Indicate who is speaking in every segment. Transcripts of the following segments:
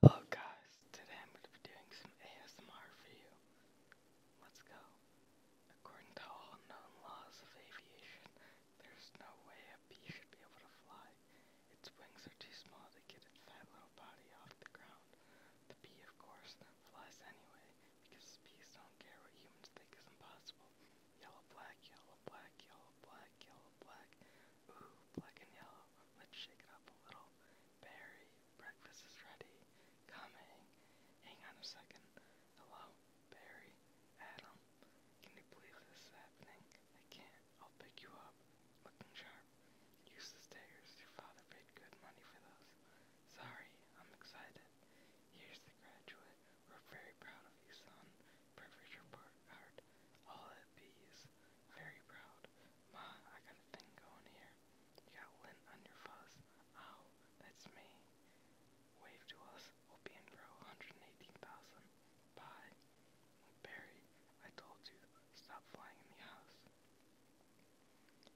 Speaker 1: Hello guys, today I'm going to be doing some ASMR for you. Let's go. According to all known laws of aviation, there's no way a bee should be able to fly. Its wings are too small to get its fat little body off the ground. The bee, of course, flies anyway, because bees don't care what humans think is impossible. Yellow, black, yellow, black, yellow, black, yellow, black. Ooh, black and yellow. Let's shake it up a little. Barry, breakfast is ready. Coming. Hang on a second. Hello, Barry. Adam. Can you believe this is happening? I can't. I'll pick you up. Looking sharp. Use the stairs. Your father paid good money for those. Sorry, I'm excited. Here's the graduate. We're very proud of you, son. Perfect report card. All at B's. Very proud. Ma, I got a thing going here. You got lint on your fuzz. Ow, that's me. Wave to us. We'll be 118,000. Bye. Barry, I told you, stop flying in the house.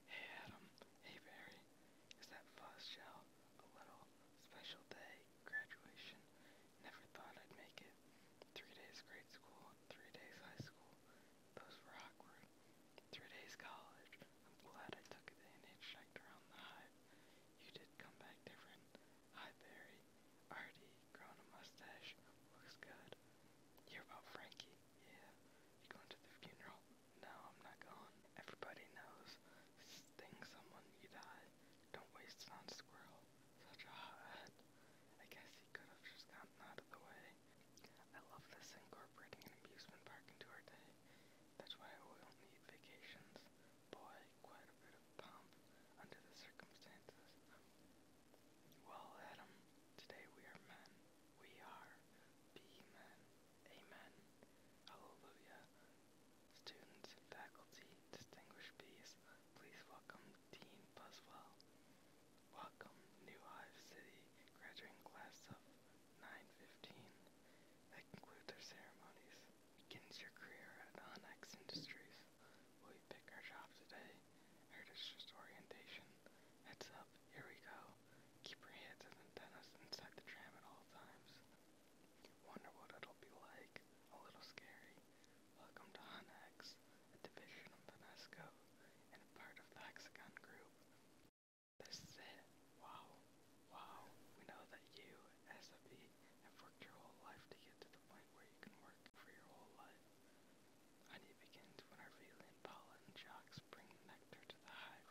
Speaker 1: Hey Adam. Hey Barry. Is that fuzz shell? A little special day, graduation. Never thought I'd make it. Three days grade school, three days high school. Those were awkward. Three days college. I'm glad I took it in, hitchhiked around the hive. You did come back different. Hi, Barry. Artie, grown a mustache. Looks good. You're about Frankie? Yeah. You going to the funeral? No, I'm not going. Everybody knows. Sting someone, you die. Don't waste it on Squirrel. Such a hothead. I guess he could have just gotten out of the way. I love this incorporating an amusement park into our day. That's why we'll need vacations. Boy, quite a bit of pomp under the circumstances. Well, Adam, today we are men. We are be men. Amen. Hallelujah. Students, faculty, distinguished bees, please welcome Dean Buswell. Welcome, New Hive City graduating class of 915. That concludes our ceremonies. Begins your career at Onyx Industries. Will you pick our job today? Heritage orientation. Heads up, here we go. Keep your hands and antennas inside the tram at all times. Wonder what it'll be like. A little scary. Welcome to Honex, a division of Vanesco and a part of the Hexagon Group. This is Wow. Wow. We know that you, SFE, have worked your whole life to get to the point where you can work for your whole life. Honey begins when Arvelian pollen shocks bring nectar to the hive.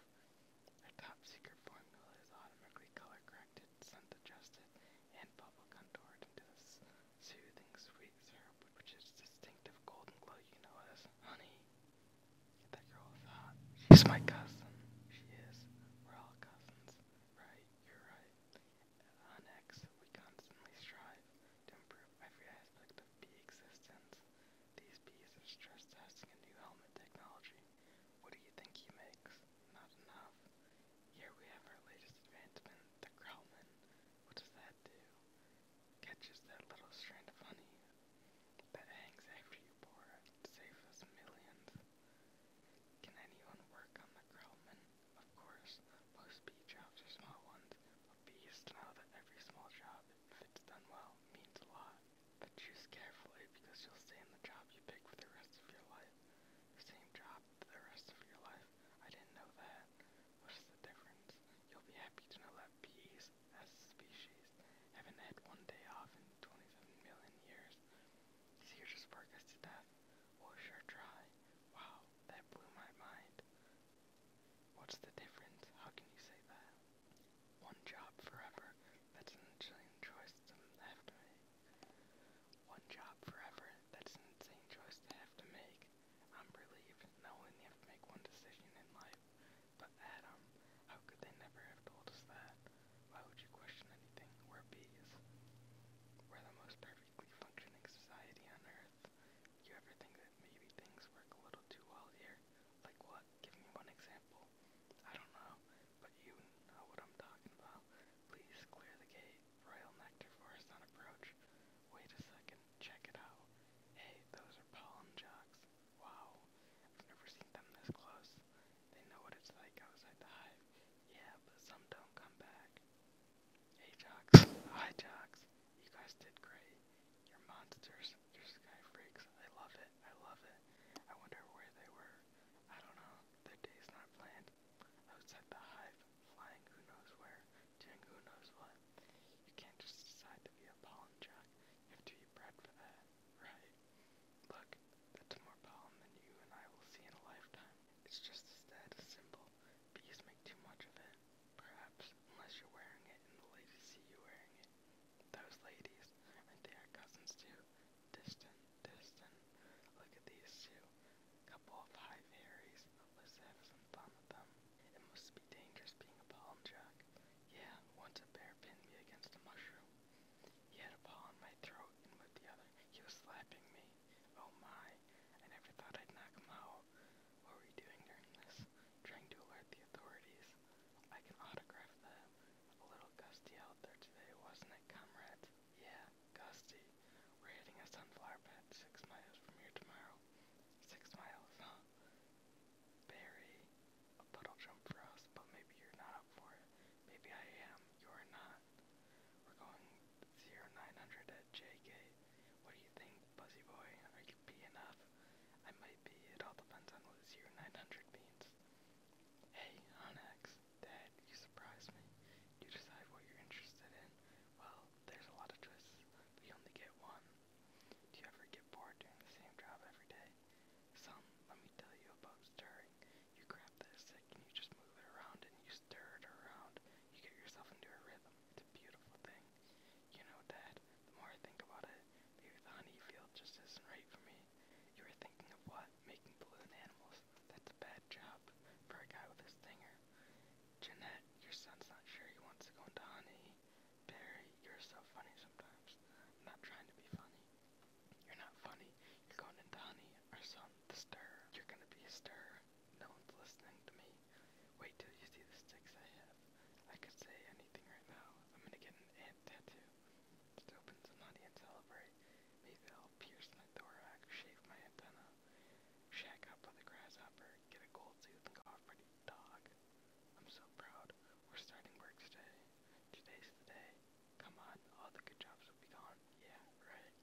Speaker 1: Our top secret formula is automatically color corrected, scent adjusted, and bubble contoured into this soothing sweet syrup, which is distinctive golden glow you know as honey. That girl is hot. She's my cousin. She is. We're all cousins. Right, you're right. On X, we constantly strive to improve every aspect of bee existence. These bees are stress testing a new helmet technology. What do you think he makes? Not enough. Here we have our latest advancement, the Krellman. What does that do? Catches that little strand of honey that hangs after you pour it. Saves us millions. Can anyone work on the Grellman? Of course, most bee jobs are small ones, but bees know that every small job, if it's done well, means a lot. choose carefully because you'll stay in the job you pick for the rest of your life. same job for the rest of your life. I didn't know that. What's the difference? You'll be happy to know that bees, as a species, haven't had one day off in 27 million years. So you just work us to death. We'll sure try. Wow, that blew my mind. What's the difference? How can you say that? One job forever. That's an interesting choice to have to make. One job forever. That's an insane choice to have to make. I'm relieved not only have to make one decision in life, but Adam, how could they never have told us that? Why would you question anything? We're bees. We're the most perfectly functioning society on Earth. you ever think that maybe things work a little too well here? Like what? Give me one example. I don't know, but you know what I'm talking about. Please clear the gate. Royal nectar forest on approach. Wait a second, check it out. Hey, those are pollen jocks. Wow, I've never seen them this close. They know what it's like outside the hive. Yeah, but some don't come back. Hey jocks, hi jocks. You guys did great. You're monsters. You're sky freaks. I love it. I love it. I wonder where they were. I don't know. Their day's not planned outside the hive, flying who knows where, doing who knows what. You can't just decide to be a pollen jack. You have to be bred for that, right? Look, that's more pollen than you and I will see in a lifetime. It's just a status symbol. Bees make too much of it. Perhaps, unless you're wearing it and the ladies see you wearing it. Those ladies, aren't they our cousins too? Distant, distant. Look at these two. Couple of high fairies. Let's have some fun with them. It must be dangerous being a pollen jack. Yeah, once a bear pinned me against a mushroom. He had a paw on my throat, and with the other, he was slapping me. Oh my, I never thought I'd knock him out. What were you doing during this? Trying to alert the authorities. I can autograph that. A little gusty out there today, wasn't it, comrades? Yeah, Gusty. We're hitting a sunflower bed six miles from here tomorrow. Six miles, huh? Barry, a puddle jump for us, but maybe you're not up for it. Maybe I am. You're not. We're going 0900 at JK. What do you think, Buzzy Boy? Are you B enough? I might be. It all depends on what 0900 means. Hey, Onyx. Dad, you surprised me. You decide what you're interested in. Well, there's a lot of twists, but you only get one. Do you ever get bored doing the same job every day? Some, let me tell you about stirring. You grab this and you just move it around and you stir it around. You get yourself into a rhythm. It's a beautiful thing. You know, Dad, the more I think about it, maybe the honey field just isn't right for me. You were thinking of what? Making balloon animals. That's a bad job for a guy with a stinger. Jeanette, your son's not sure he wants to go into honey. Barry, you're so funny sometimes. I'm not trying to be funny. You're not funny. You're going into honey. Our son, the stir. You're gonna be a stir. No one's listening to me. Wait till you see the sticks I have. I could say anything right now. I'm gonna get an ant tattoo. Let's open some honey and celebrate. Maybe I'll pierce my thorax, shave my antenna shack up with a grasshopper, get a gold tooth, and go off pretty dog. I'm so proud. We're starting work today. Today's the day. Come on, all the good jobs will be gone. Yeah, right.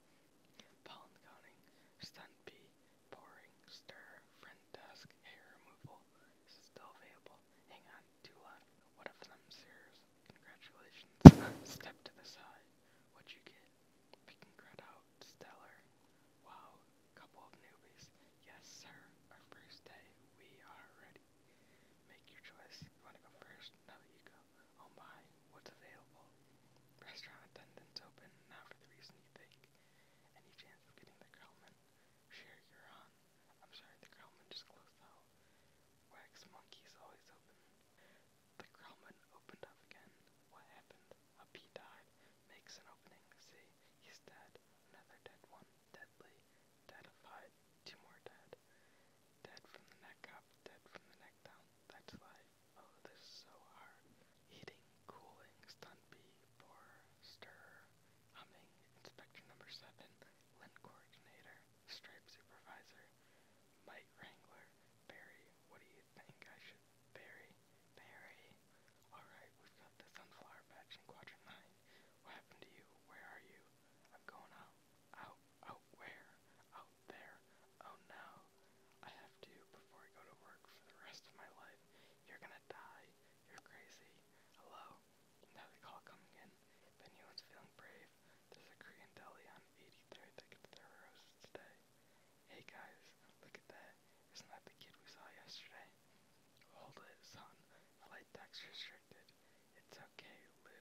Speaker 1: Pollen counting, stunt bee, pouring, stir, friend desk, hair removal. This is still available. Hang on, two left. One of them's yours. Congratulations. Step to the side. What'd you get? We can out Stellar. Wow, couple of newbies. Yes, sir. Our first day. We are ready. Make your choice. You want to go first? No, you go. Oh my, what's available? Restaurant attendants open, not for the reason you think. Any chance of getting the Growlman? Sure, you're on. I'm sorry, the Growlman just closed out. Wax Monkey's always open. The Growlman opened up again. What happened? A bee died, makes an opening, see, he's dead. Another dead one, deadly, dead two more dead. Dead from the neck up, dead from the neck down, that's life. Oh, this is so hard. Heating, cooling, stun bee, borer, stir, humming, inspector number seven, lint coordinator, stripe supervisor, mite wrangler, berry, what do you think I should bury, bury. Alright, we've got the sunflower patch in quadrant 9. What happened to you? Where are you? I'm going out. Out, out where? Out there. Oh no. I have to before I go to work for the rest of my life. You're gonna die. You're crazy. Hello? Now call coming in. If anyone's feeling brave, there's a Korean deli on 83rd that gets their roast today. Hey guys, look at that. Isn't that the kid we saw yesterday? Hold it, son. The light deck's restricted. It's okay, Lou.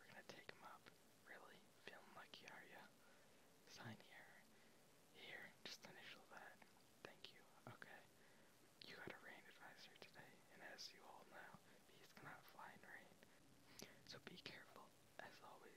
Speaker 1: We're gonna take him up. Really? Feeling lucky, are ya? Sign here. Here, just initial that. Thank you. Okay. You got a rain advisor today, and as you all know, bees cannot fly in rain. So be careful, as always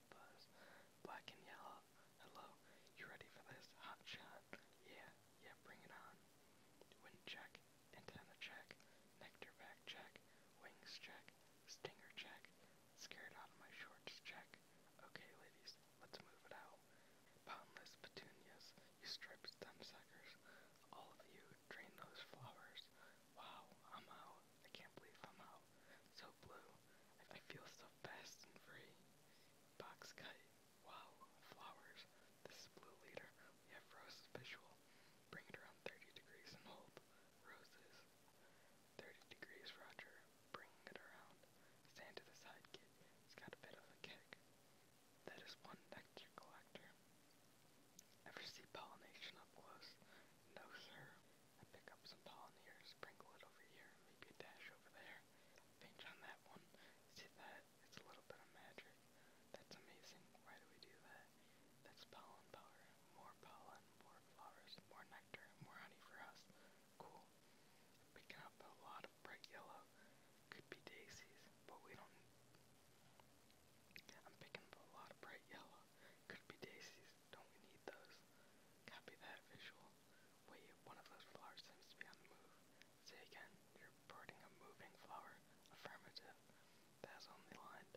Speaker 1: Black and yellow. Hello. You ready for this? Hot Yeah. Yeah, bring it on. Wind check. Antenna check. Nectar back check. Wings check. Stinger check. Scared out of my shorts check. Okay, ladies, let's move it out. Boundless petunias, you striped stem All of you, drain those flowers. Wow, I'm out. I can't believe I'm out. So blue. I feel so fast and free. Box kite. Wow. Flowers. This is blue leader. We have roses visual. Bring it around 30 degrees and hold. Roses. 30 degrees, Roger. Bring it around. Stand to the side, kid. It's got a bit of a kick. That is one nectar collector. Ever see pollination up close? No, sir. I pick up some pollen here, sprinkle it over here, maybe a dash over there. Pinch on that one. See that? It's a little bit of magic. That's amazing. Why do we do that? That's pollen power. More pollen, more flowers, more nectar, more honey for us. Cool. Picking up a lot of bright yellow. Could be daisies, but we don't. I'm picking up a lot of bright yellow. Could be daisies. Don't we need those? Copy that visual. Wait, one of those flowers seems to be on the move. Say again, you're reporting a moving flower. Affirmative. That's only lined.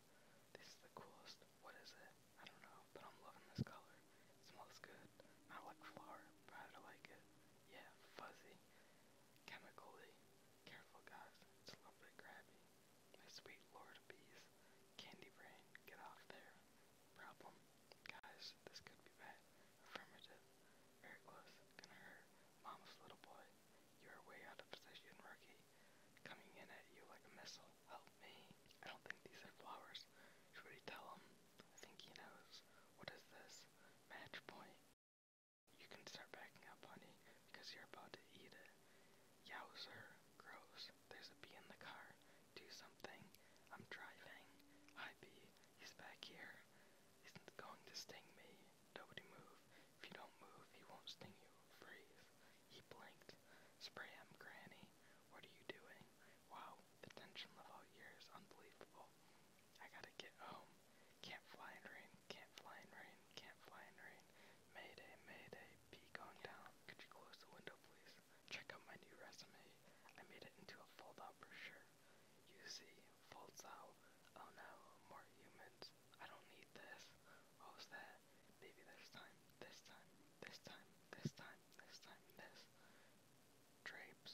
Speaker 1: This is the coolest. What is it? I don't know, but I'm loving this color. It smells good. Not like flower, but I like it. Yeah, fuzzy. Chemically. Careful, guys. It's a little bit grabby. My sweet lord of bees. Candy brain, get off there problem. Guys, this could be bad. Affirmative. Very close. Gonna hurt. Mama's little boy. You are way out of position, rookie. Coming in at you like a missile. Help me. I don't think these are flowers. Should we tell him? I think he knows. What is this? Match point. You can start backing up, honey, because you're about to eat it. Yowzer. Gross there's a bee in the car. Do something. I'm driving. Hi, bee. He's back here. He's going to sting me. Nobody move. If you don't move, he won't sting you. Freeze. He blinked. Spray him, Granny. What are you doing? Wow, the tension level here is unbelievable. I gotta get home. Can't fly in rain. Can't fly in rain. Can't fly in rain. Mayday, mayday. Bee going down. Could you close the window, please? Check out my new resume. I made it into a fold-out brochure. You see, folds out. Oh no, more humans. I don't need this. was that? Maybe this time, this time, this time, this time, this time, this. Drapes.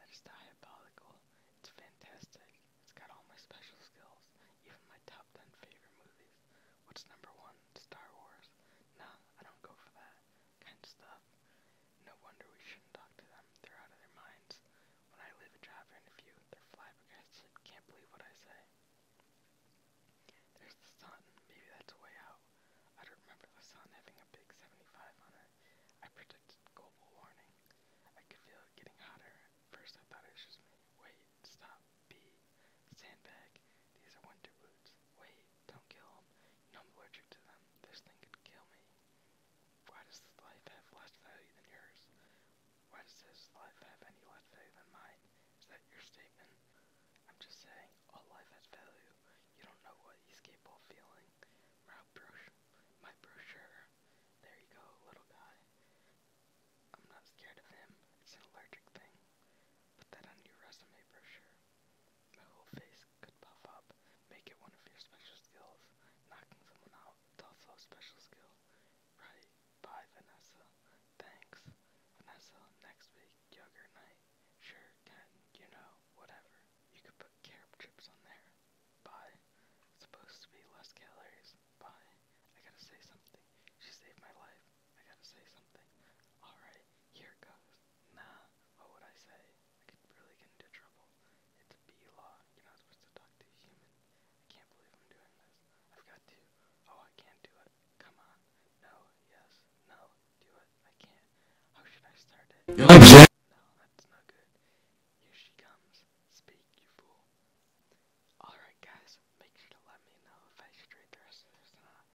Speaker 1: That is diabolical. It's fantastic. It's got all my special skills, even my top 10 favorite movies. What's number one? Star Wars. Nah, I don't go for that that kind of stuff. No wonder we shouldn't talk to them. They're out of their minds. When I leave a job interview, they're flabbergasted. Can't believe what I say. There's the sun. Maybe that's a way out. I don't remember the sun having a big 75 on it. I predicted global warming. I could feel it getting hotter. At first I thought it was just me. Wait, stop. Be. Sandbag. These are winter boots. Wait, don't kill them. You know I'm allergic to them. This thing could kill me. Why does this life have less value than yours? Why does this life have any less value than mine? Is that your statement? I'm just saying, all life has value. You don't know what he's capable of feeling. My brochure. My brochure. There you go, little guy. I'm not scared of him. It's an allergic thing. Put that on your resume brochure. The whole face could puff up. Make it one of your special skills. Knocking someone out also a special skill. Right. Bye, Vanessa. Thanks. Vanessa, next week, yogurt night. Sure, Ken, you know, whatever. You could put carrot chips on there. Bye. supposed to be less calories. Bye. I gotta say something. She saved my life. I gotta say something. Alright, here it goes nah, what would I say? I could really get into trouble. It's bee law. You're not supposed to talk to a human. I can't believe I'm doing this. I've got to. Oh, I can't do it. Come on. No, yes, no, do it. I can't. How should I start it? No, that's no good. Here she comes. Speak, you fool. Alright, guys, make sure to let me know if I should read the rest of this or not.